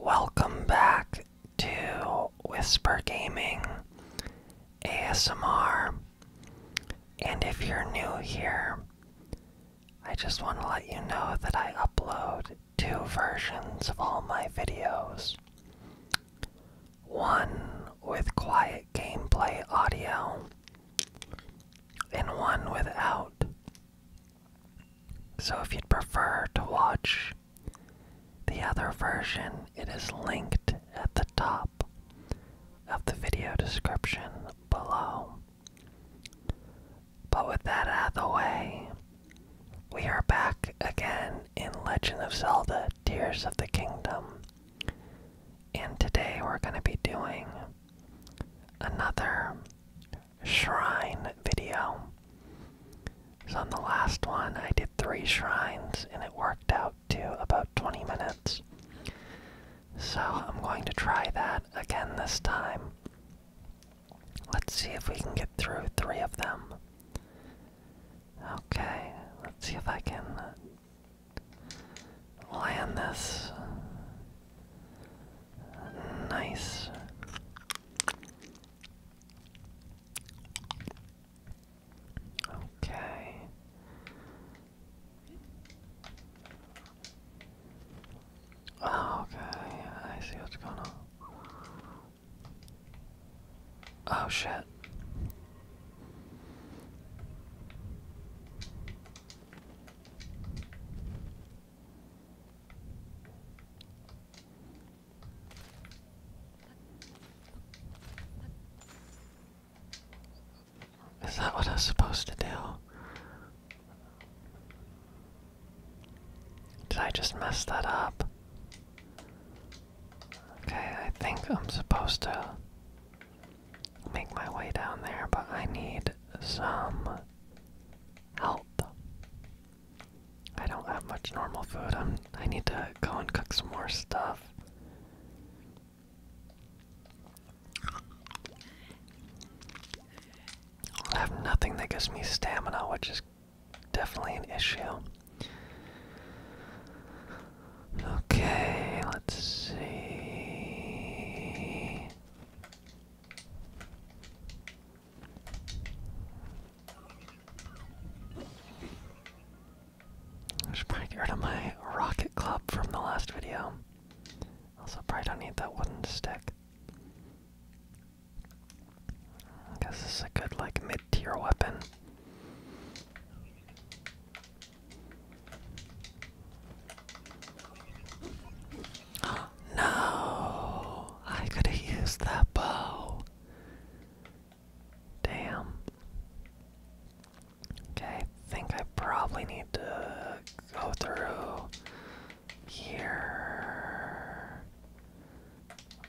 Welcome back to Whisper Gaming ASMR. And if you're new here, I just want to let you know that I upload two versions of all my videos. One with quiet gameplay audio, and one without. So if you'd prefer to watch the other version, it is linked at the top of the video description below. But with that out of the way, we are back again in Legend of Zelda Tears of the Kingdom. And today we're going to be doing another shrine video. So on the last one, I did three shrines and it worked out to about 20 minutes. So I'm going to try that again this time. Let's see if we can get through three of them. Okay, let's see if I can land this. Nice. Okay. okay. I see what's going on. Oh, shit. Is that what I was supposed to do? Did I just mess that up? Okay, I think I'm supposed to make my way down there, but I need some help. I don't have much normal food. I'm, I need to go and cook some more stuff. I have nothing that gives me stamina, which is definitely an issue. Okay, let's see. I should probably get rid of my rocket club from the last video. Also, probably don't need that wooden stick. I guess this is a good, like, mid-tier weapon no, I could have used that bow. Damn. Okay, I think I probably need to go through here.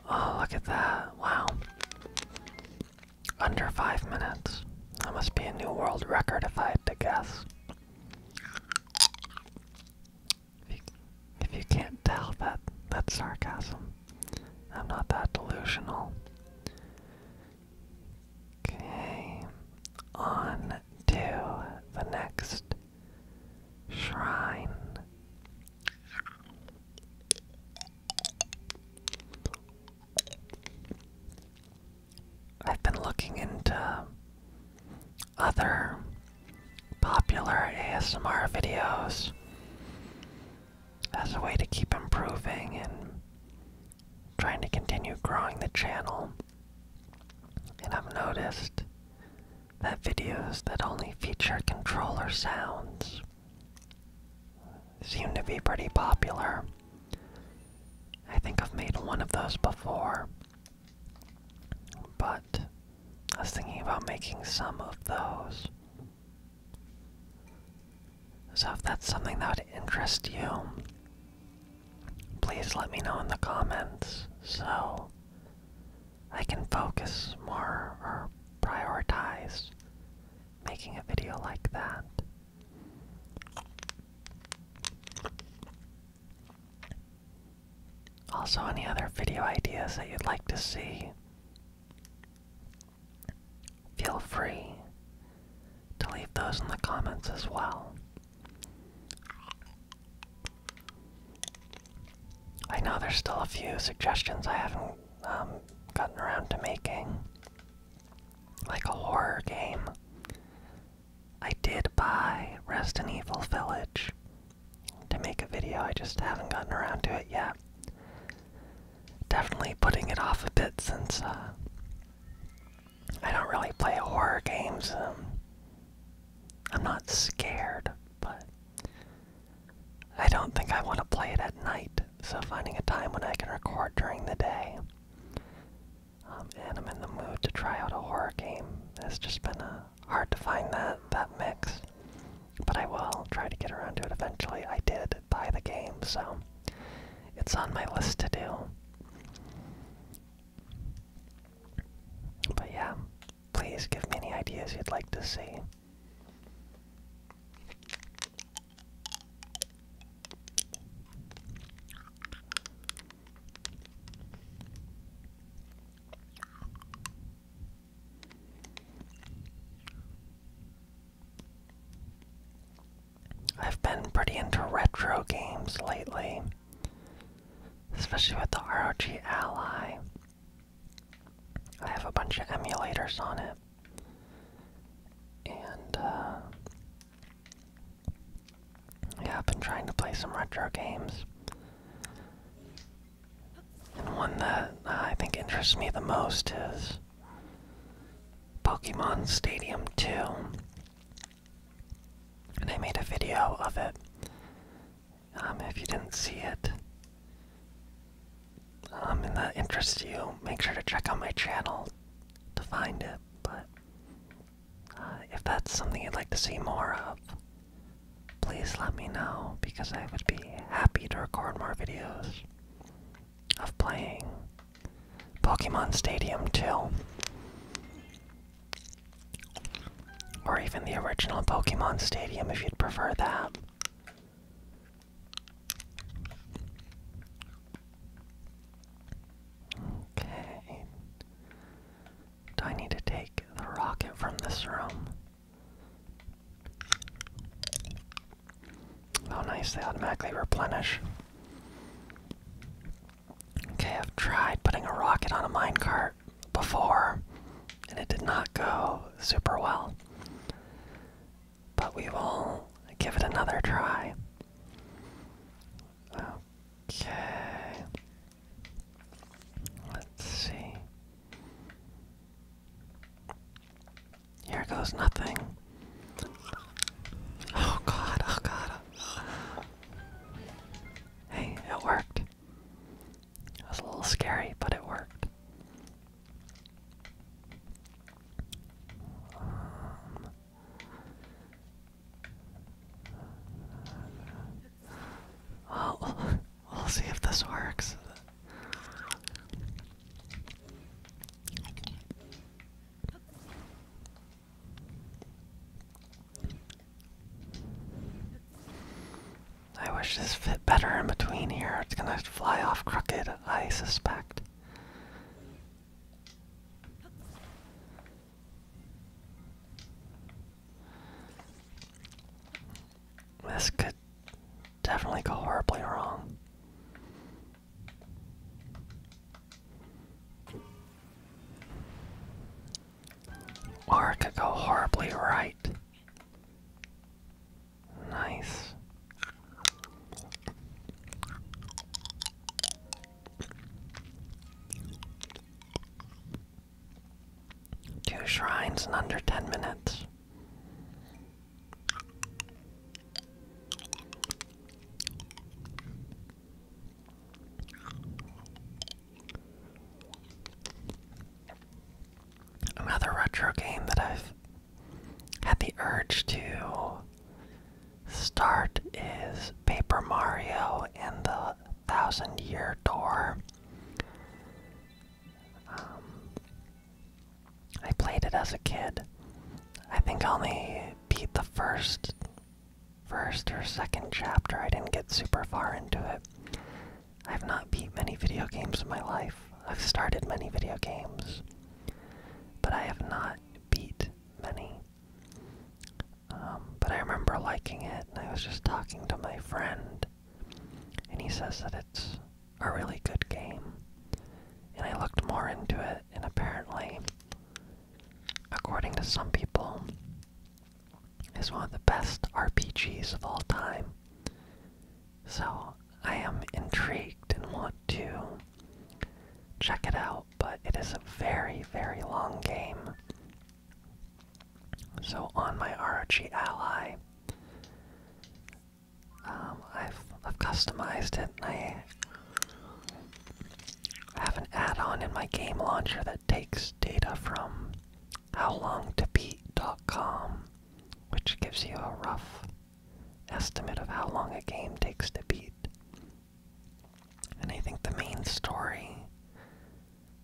Oh, look at that. Wow. Under five minutes. That must be a new world record if I had to guess. If you, can't tell that that's sarcasm, I'm not that delusional. Okay, on to the next shrine. I've been looking into other popular ASMR videos as a way to keep improving and trying to continue growing the channel. And I've noticed that videos that only feature controller sounds seem to be pretty popular. I think I've made one of those before, but I was thinking about making some of those. So if that's something that would interest you, please let me know in the comments so I can focus more or prioritize making a video like that. Also, any other video ideas that you'd like to see, feel free to leave those in the comments as well. I know there's still a few suggestions I haven't um, gotten around to making, like a horror game. I did buy Rest in Evil Village to make a video. I just haven't gotten around to it yet. Definitely putting it off a bit since uh, I don't really play horror games. Um, I'm not scared, but I don't think I want to play it at night. So finding a time when I can record during the day um, and I'm in the mood to try out a horror game. It's just been uh, hard to find that that mix, but I will try to get around to it eventually. I did buy the game, so it's on my list to do. But yeah, please give me any ideas you'd like to see. I've been pretty into retro games lately, especially with the ROG Ally. I have a bunch of emulators on it, and uh, yeah, I've been trying to play some retro games. And one that uh, I think interests me the most is Pokemon Stadium 2. And I made a video of it. Um, if you didn't see it, um, and that interests you, make sure to check out my channel to find it. But if that's something you'd like to see more of, please let me know because I would be happy to record more videos of playing Pokemon Stadium 2. Or even the original Pokemon Stadium if you'd prefer that. Okay. Do I need to take the rocket from this room? Oh, nice, they automatically replenish. Okay, I've tried putting a rocket on a minecart before, and it did not go super well. But we will give it another try. Okay. Let's see. Here goes nothing. Oh god, oh god. Hey, it worked. It was a little scary, but it worked. Um, well, we'll see if this works. I wish this fit better in between here. It's gonna fly off crooked, I suspect. This could definitely go horribly wrong. Or it could go horribly right. Nice. Two shrines in under 10 minutes. Another retro game that I've had the urge to start is Paper Mario and the Thousand Year Door. Um, I played it as a kid. I think I only beat the first, first or second chapter. I didn't get super far into it. I've not beat many video games in my life. I've started many video games, but I have not beat many. Um, but I remember liking it, and I was just talking to my friend, and he says that it's a really good game. And I looked more into it, and apparently, according to some people, it's one of the best RPGs of all time. So I am intrigued and want to check it out, but it is a very, very long game. So on my ROG Ally, um, I've, I've customized it and I have an add-on in my game launcher that takes data from howlongtobeat.com, which gives you a rough estimate of how long a game takes to beat. And I think the main story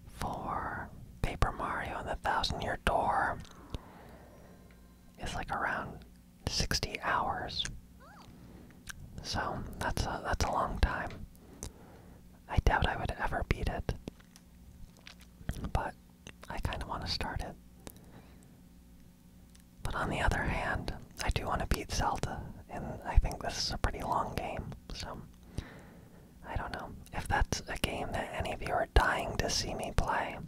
for Paper Mario and the Thousand Year Door is like around 60 hours. So that's a, that's a long time. I doubt I would ever beat it, but I kind of want to start it. But on the other hand, I do want to beat Zelda, and I think this is a pretty long game, so I don't know. If that's a game that any of you are dying to see me play,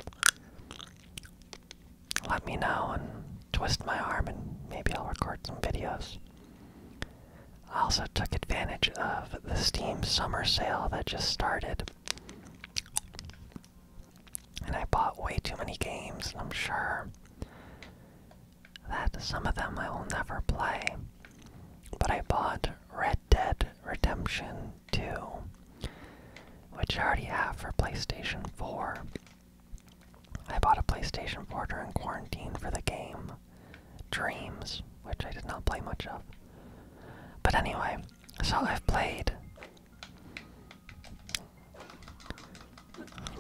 let me know and twist my arm and maybe I'll record some videos. I also took advantage of the Steam summer sale that just started. And I bought way too many games, and I'm sure that some of them I will never play. But I bought Red Dead Redemption 2, which I already have for PlayStation 4. I bought a PlayStation 4 during quarantine for the game Dreams, which I did not play much of. But anyway, so I've played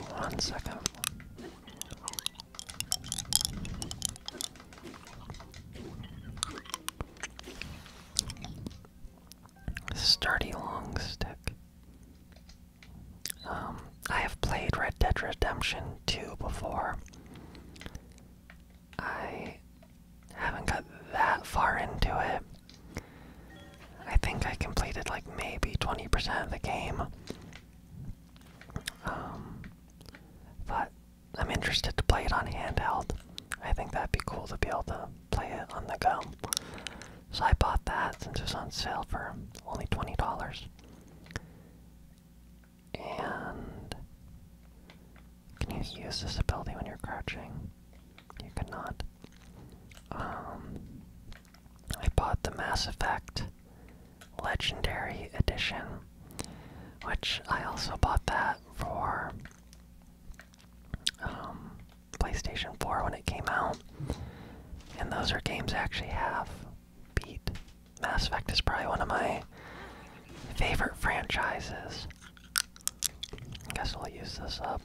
one second. Sturdy long stick. Um, I have played Red Dead Redemption 2 before. I haven't got that far into it. I think I completed like maybe 20% of the game. Um, but I'm interested to play it on handheld. I think that'd be cool to be able to play it on the go. So I bought that since it was on sale for only $20. And. Can you use this ability when you're crouching? You could um, I bought the Mass Effect Legendary Edition, which I also bought that for um, PlayStation 4 when it came out. And those are games I actually have beat. Mass Effect is probably one of my favorite franchises. I guess I'll use this up.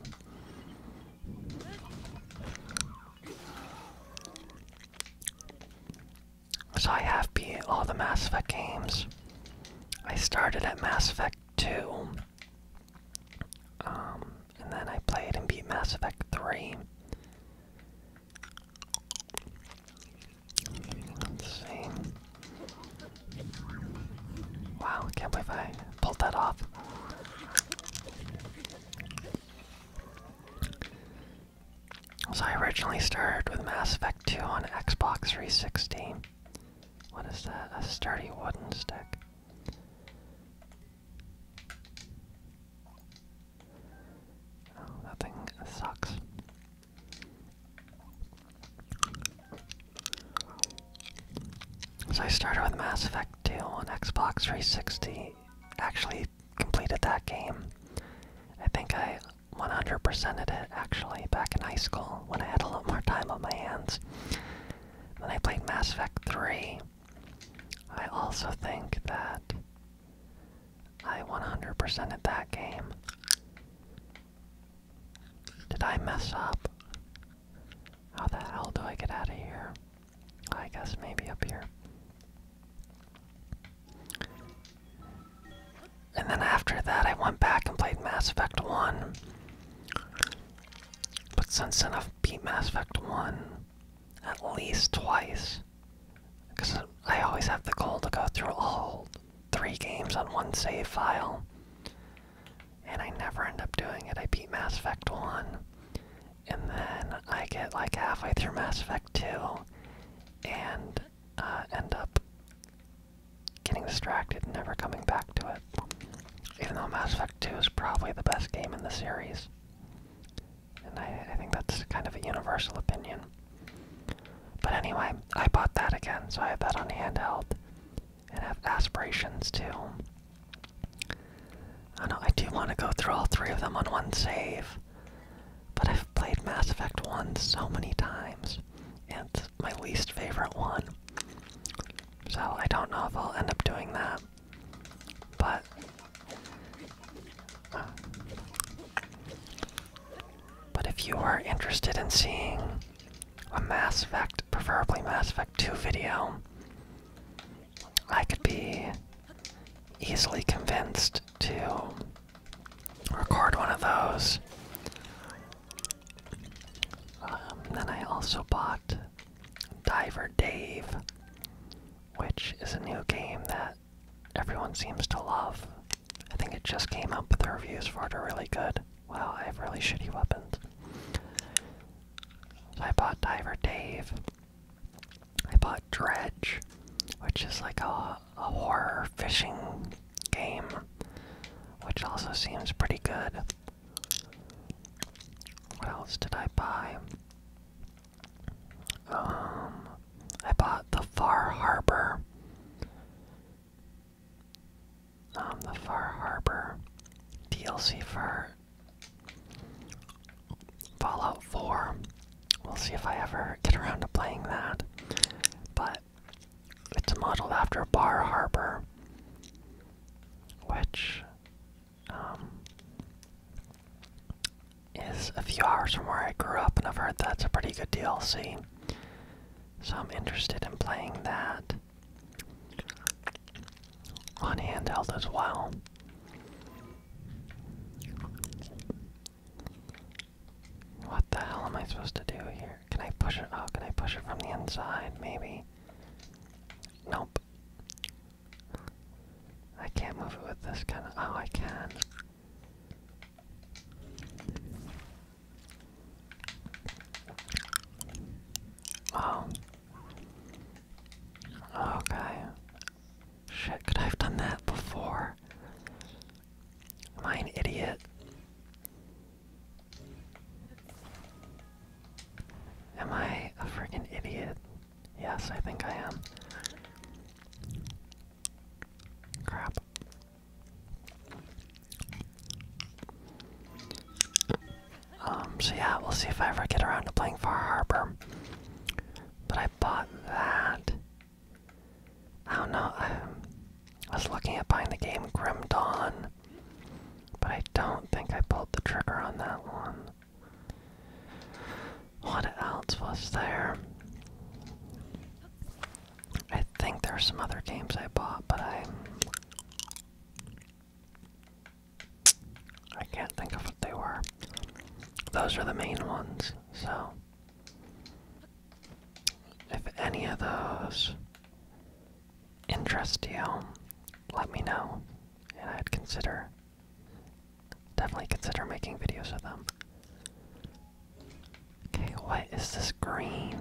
So I have beat all the Mass Effect games. I started at Mass Effect 2. Um, and then I played and beat Mass Effect 3. Let's see. Wow, can't believe I pulled that off. So I originally started with Mass Effect 2 on Xbox 360. What is that? A sturdy wooden stick. Oh, that thing sucks. So I started with Mass Effect 2 on Xbox 360. Actually completed that game. I think I 100%ed it actually back in high school when I had a lot more time on my hands. Then I played Mass Effect 3. I also think that I 100%ed that game. Did I mess up? How the hell do I get out of here? I guess maybe up here. And then after that, I went back and played Mass Effect 1. But since then, I've beat Mass Effect 1 at least twice. Because I always have the goal to go through all three games on one save file and I never end up doing it. I beat Mass Effect 1, and then I get like halfway through Mass Effect 2, and uh, end up getting distracted never coming back to it. Even though Mass Effect 2 is probably the best game in the series. And I, I think that's kind of a universal opinion. But anyway, I bought that again, so I have that on handheld and have aspirations too. I know I do want to go through all three of them on one save, but I've played Mass Effect 1 so many times, it's my least favorite one. So I don't know if I'll end up doing that, but. Uh, but if you are interested in seeing a Mass Effect, preferably Mass Effect 2 video, I could be easily convinced to record one of those. Um, then I also bought Diver Dave, which is a new game that everyone seems to love. I think it just came out, but the reviews for it are really good. Wow, I have really shitty weapons. I bought Diver Dave. I bought Dredge, which is like a, a horror fishing game, which also seems pretty good. What else did I buy? Um, I bought the Far Harbor. Um, the Far Harbor DLC for Fallout 4. We'll see if I ever get around to playing that. But it's modeled after Bar Harbor, which um, is a few hours from where I grew up, and I've heard that's a pretty good DLC. So I'm interested in playing that on handheld as well. What the hell am I supposed to do here? Can I push it? Oh, can I push it from the inside? Maybe. Nope. I can't move it with this kind of. Oh, I can. Wow. Okay. Shit, could I have done that before? Am I an idiot? Am I a freaking idiot? Yes, I think I am. Crap. Um, so yeah, we'll see if I ever get around to playing Far Harbor. But I bought that. I don't know, I was looking at buying the game Grim Dawn, but I don't think I pulled the trigger on that one. What else was there? I think there are some other games I bought, but I I can't think of what they were. Those are the main ones, so if any of those interest you, let me know, and I'd consider definitely consider making videos of them. Okay, what is this green?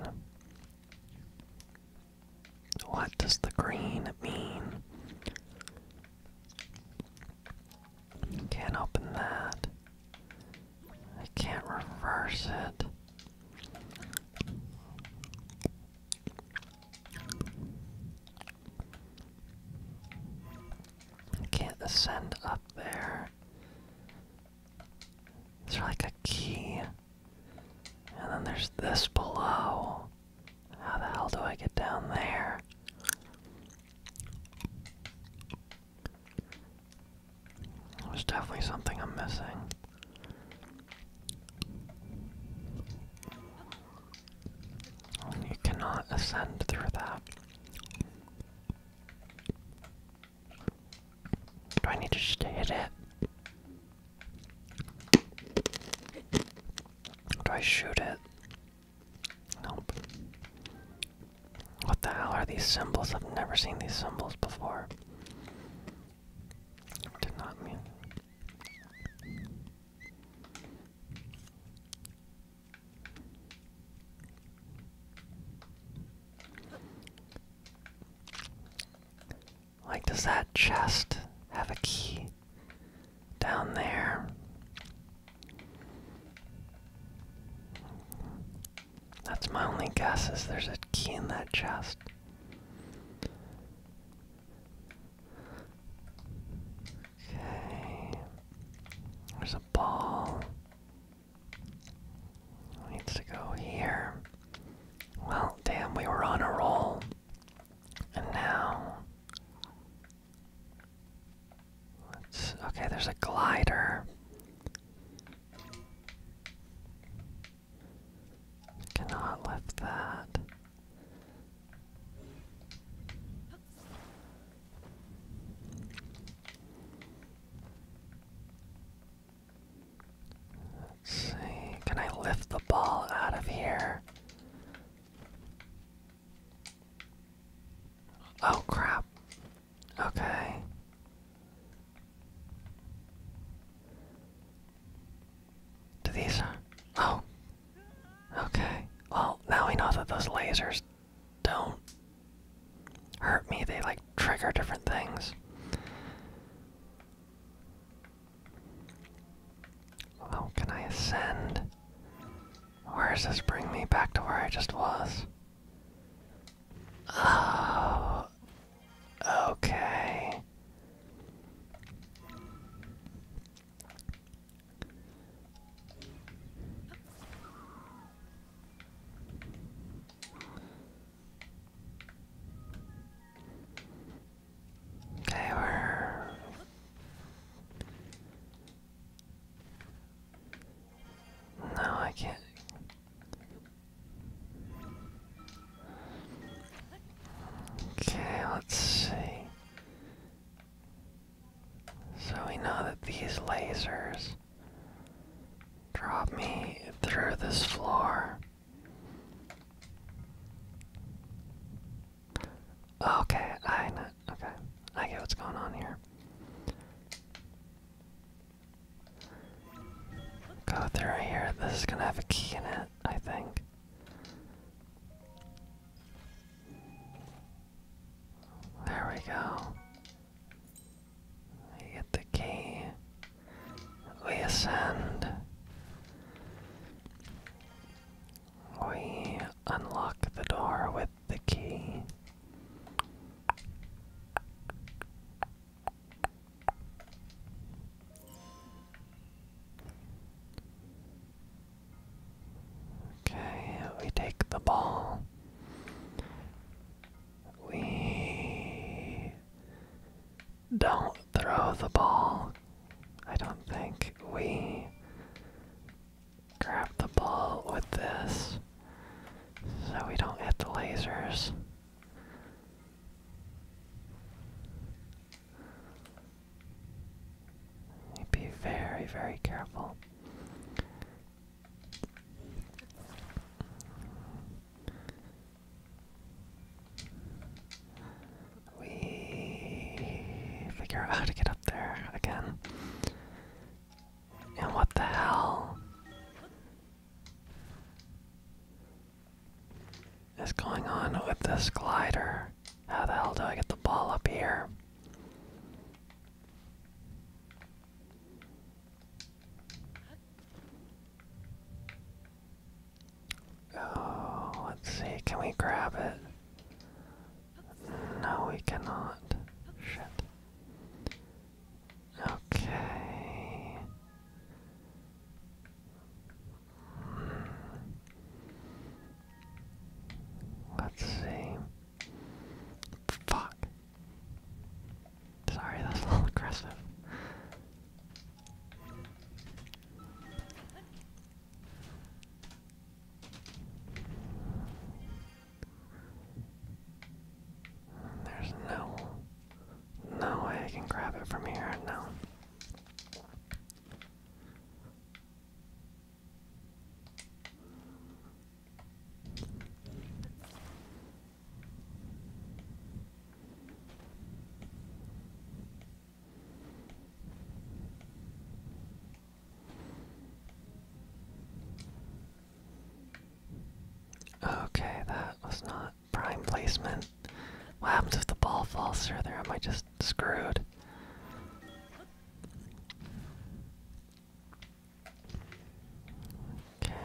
What does the green mean? Can't open that. I can't reverse it. I can't ascend up there. Is like a key? And then there's this below. How the hell do I get down there? There's definitely something I'm missing. You cannot ascend through that. Do I need to just hit it? Do I shoot it? Nope. What the hell are these symbols? I've never seen these symbols before. Did not mean. Like, does that chest have a key down there? That's my only guess is there's a key in that chest. Okay. There's a ball. Needs to go here. Well, damn, we were on a roll. And now. Let's, okay, there's a glider. Cannot lift that. Let's see. Can I lift the ball out of here? Oh crap. Okay. Do these. Oh. Okay. Well, now we know that those lasers don't hurt me. They like trigger different things. Oh, can I ascend? Where does this bring me back to where I just was? Oh, okay. Okay, we're no, I can't. Okay, let's see. So we know that these lasers Drop me through this floor. Okay, I know. Okay, I get what's going on here. Go through here. This is gonna have a key in it, I think. There we go. We get the key. We ascend. We unlock the door with the key. Okay, we take the ball. We don't throw the ball. I don't think we grab the ball with this so we don't hit the lasers. Be very, very careful. We figure out how to get up there again. And what the hell is going on with this glider? How the hell do I get the ball up here? Oh, let's see. Can we grab it? No, we cannot. Shit. Okay. Hmm. Let's see. Fuck. Sorry, that's a little aggressive. There's no no way I can grab it from here, no. Okay, that was not prime placement. What happens if the ball falls through there? Am I just screwed? Okay.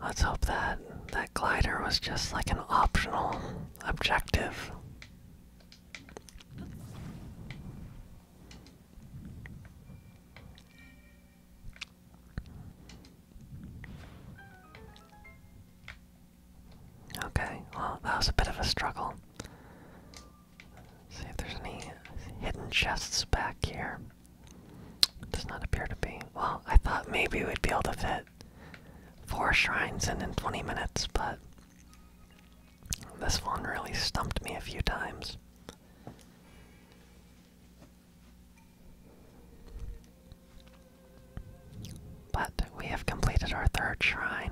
Let's hope that that glider was just like an optional objective. Okay, well, that was a bit of a struggle. see if there's any hidden chests back here. Does not appear to be. Well, I thought maybe we'd be able to fit four shrines in in 20 minutes, but this one really stumped me a few times. But we have completed our third shrine.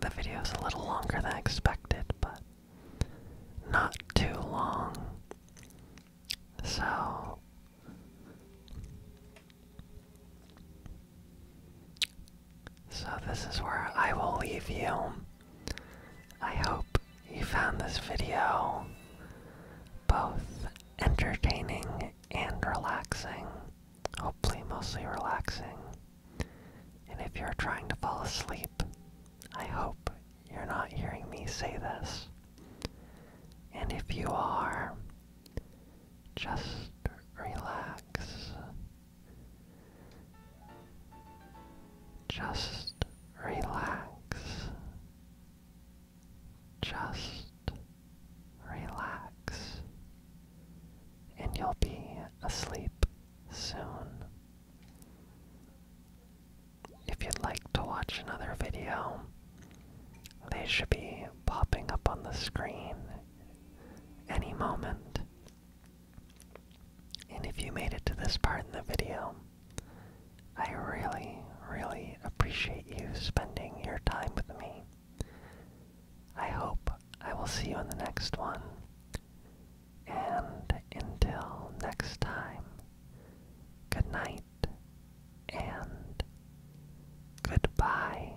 The video is a little longer than expected, but not too long. So. So, this is where I will leave you. I hope you found this video both entertaining and relaxing. Hopefully, mostly relaxing. And if you're trying to fall asleep, I hope you're not hearing me say this. And if you are, just relax. Just relax. Just relax, and you'll be asleep soon. If you'd like to watch another video, they should be popping up on the screen any moment. And if you made it to this part in the video, I really, really appreciate you spending your time with me. I hope I will see you in the next one. And until next time, good night and goodbye.